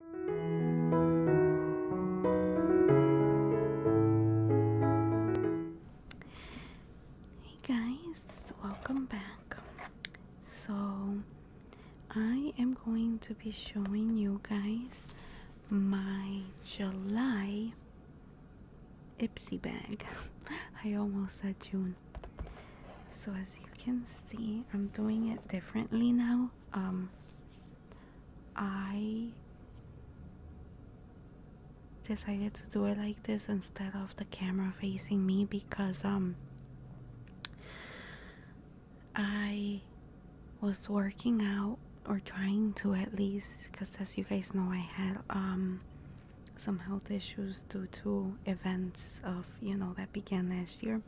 Hey guys, welcome back. So, I am going to be showing you guys my July Ipsy bag. I almost said June. So, as you can see, I'm doing it differently now um, I decided to do it like this instead of the camera facing me because um I was working out or trying to at least because as you guys know I had um some health issues due to events of you know that began last year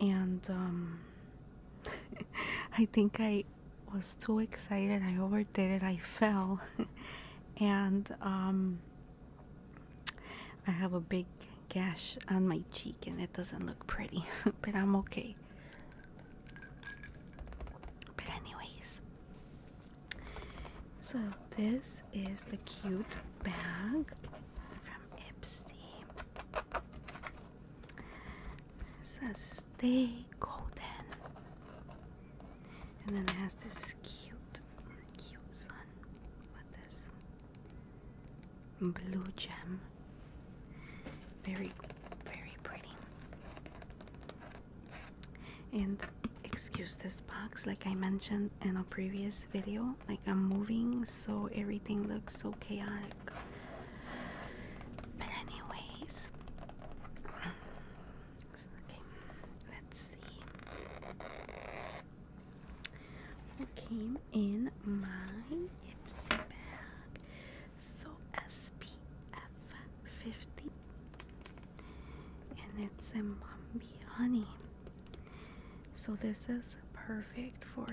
and um, I think I was too excited. I overdid it. I fell, and um, I have a big gash on my cheek, and it doesn't look pretty, but I'm okay. But, anyways, so this is the cute bag Ipsy. It stay golden. And then it has this cute, cute sun with this blue gem. Very, very pretty. And excuse this box, like I mentioned in a previous video, like i'm moving so everything looks so chaotic but anyways okay let's see what came in my bag so spf 50 and it's a mommy honey so this is perfect for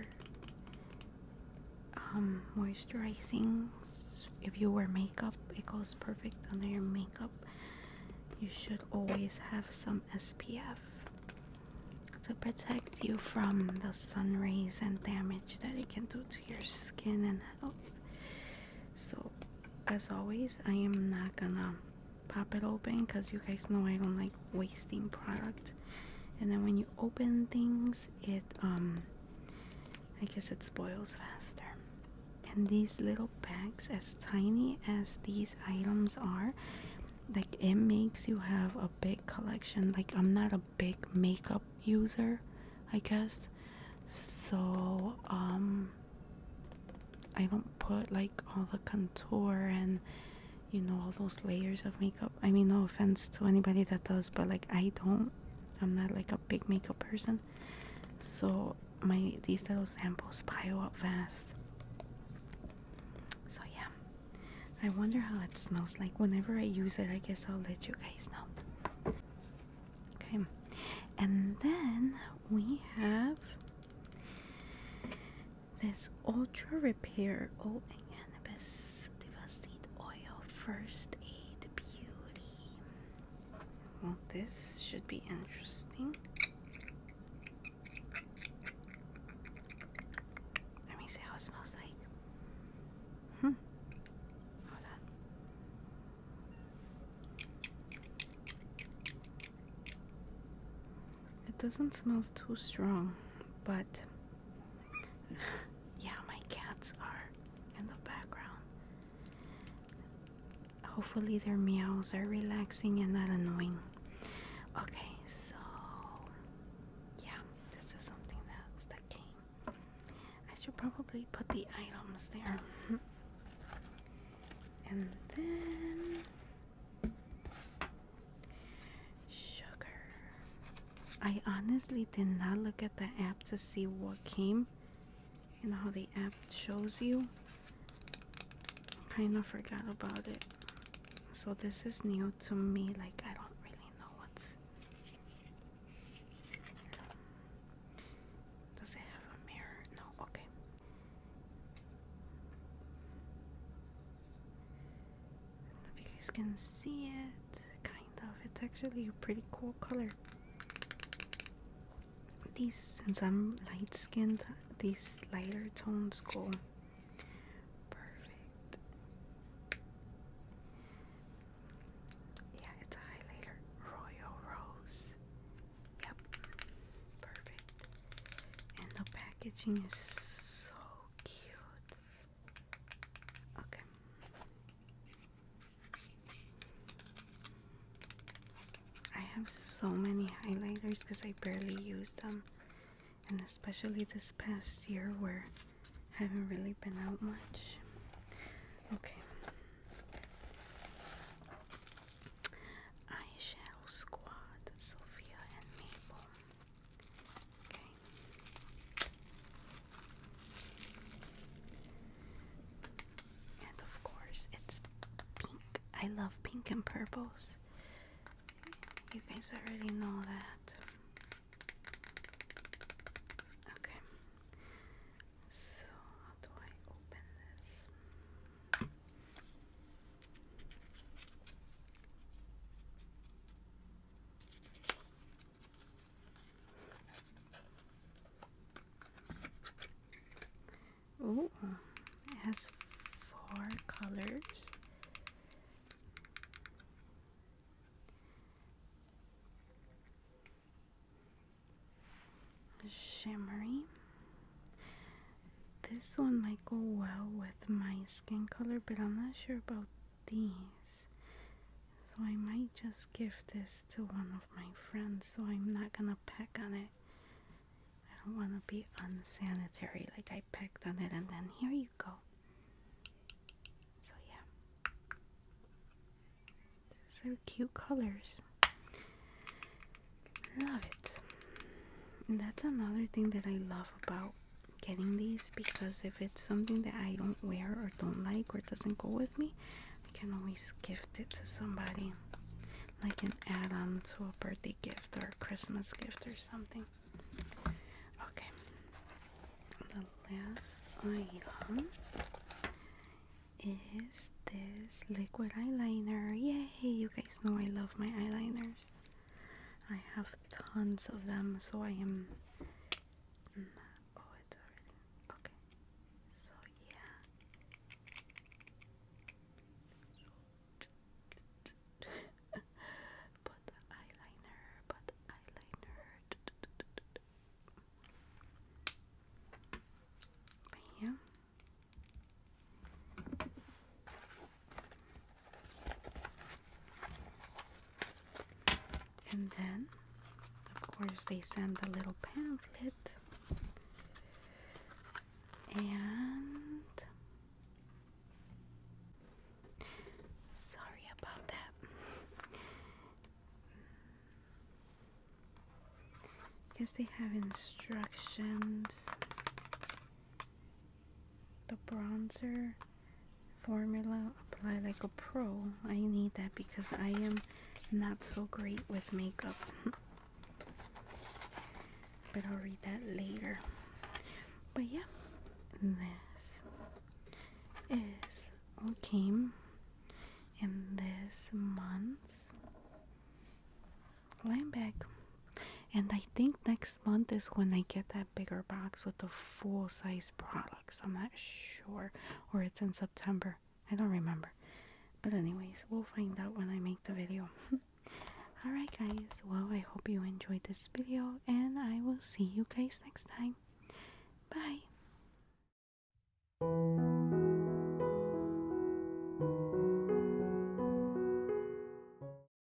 um, Moisturizing. If you wear makeup, it goes perfect under your makeup. You should always have some SPF to protect you from the sun rays and damage that it can do to your skin and health. So, as always, I am not gonna pop it open because you guys know I don't like wasting product and then when you open things it um i guess it spoils faster and these little bags as tiny as these items are like it makes you have a big collection like i'm not a big makeup user i guess so um i don't put like all the contour and you know all those layers of makeup i mean no offense to anybody that does but like i don't i'm not like a big makeup person so my these little samples pile up fast so yeah i wonder how it smells like whenever i use it i guess i'll let you guys know okay and then we have this ultra repair oil and this devastated oil first aid beauty. Well, this should be interesting. Let me see how it smells like. Hmm. How's that? It doesn't smell too strong, but yeah, my cats are in the background. Hopefully, their meows are relaxing and not annoying. Okay, so yeah, this is something that that came. I should probably put the items there. And then Sugar. I honestly did not look at the app to see what came. and how the app shows you? Kind of forgot about it. So this is new to me. Like, I don't really know what's. Does it have a mirror? No, okay if you guys can see it, kind of. It's actually a pretty cool color. These, and some light skinned, these lighter tones go perfect. Yeah, it's a highlighter. Royal Rose. Yep, perfect. And the packaging is so cute. Okay. I have so many highlighters because I barely use them, and especially this past year where I haven't really been out much. Okay. Eyeshadow Squad, Sophia and Mabel. And of course, it's pink. I love pink and purples. You guys already know that. Okay. So, how do I open this? Oh, it has four colors. Shimmery, this one might go well with my skin color, but I'm not sure about these. So I might just give this to one of my friends, so I'm not gonna peck on it. I don't wanna be unsanitary, like I pecked on it, and then here you go. So, yeah. These are cute colors. Love it. that's another thing that I love about getting these because if it's something that I don't wear or don't like or doesn't go with me, I can always gift it to somebody I can add on to a birthday gift or a Christmas gift or something. Okay, the last item is this liquid eyeliner. Yay! You guys know I love my eyeliners. I have tons of them, so I am. Oh, it's already okay. So yeah. put the eyeliner. Put the eyeliner. Right and then, of course, they send a little pamphlet and sorry about that. Guess they have instructions the bronzer formula apply like a pro i need that because i am not so great with makeup but i'll read that later but yeah this is all came in this month's line bag and I think next month is when I get that bigger box with the full size products. I'm not sure. Or it's in September. I don't remember. But, anyways, we'll find out when I make the video. Alright, guys. Well, I hope you enjoyed this video, and I will see you guys next time. Bye.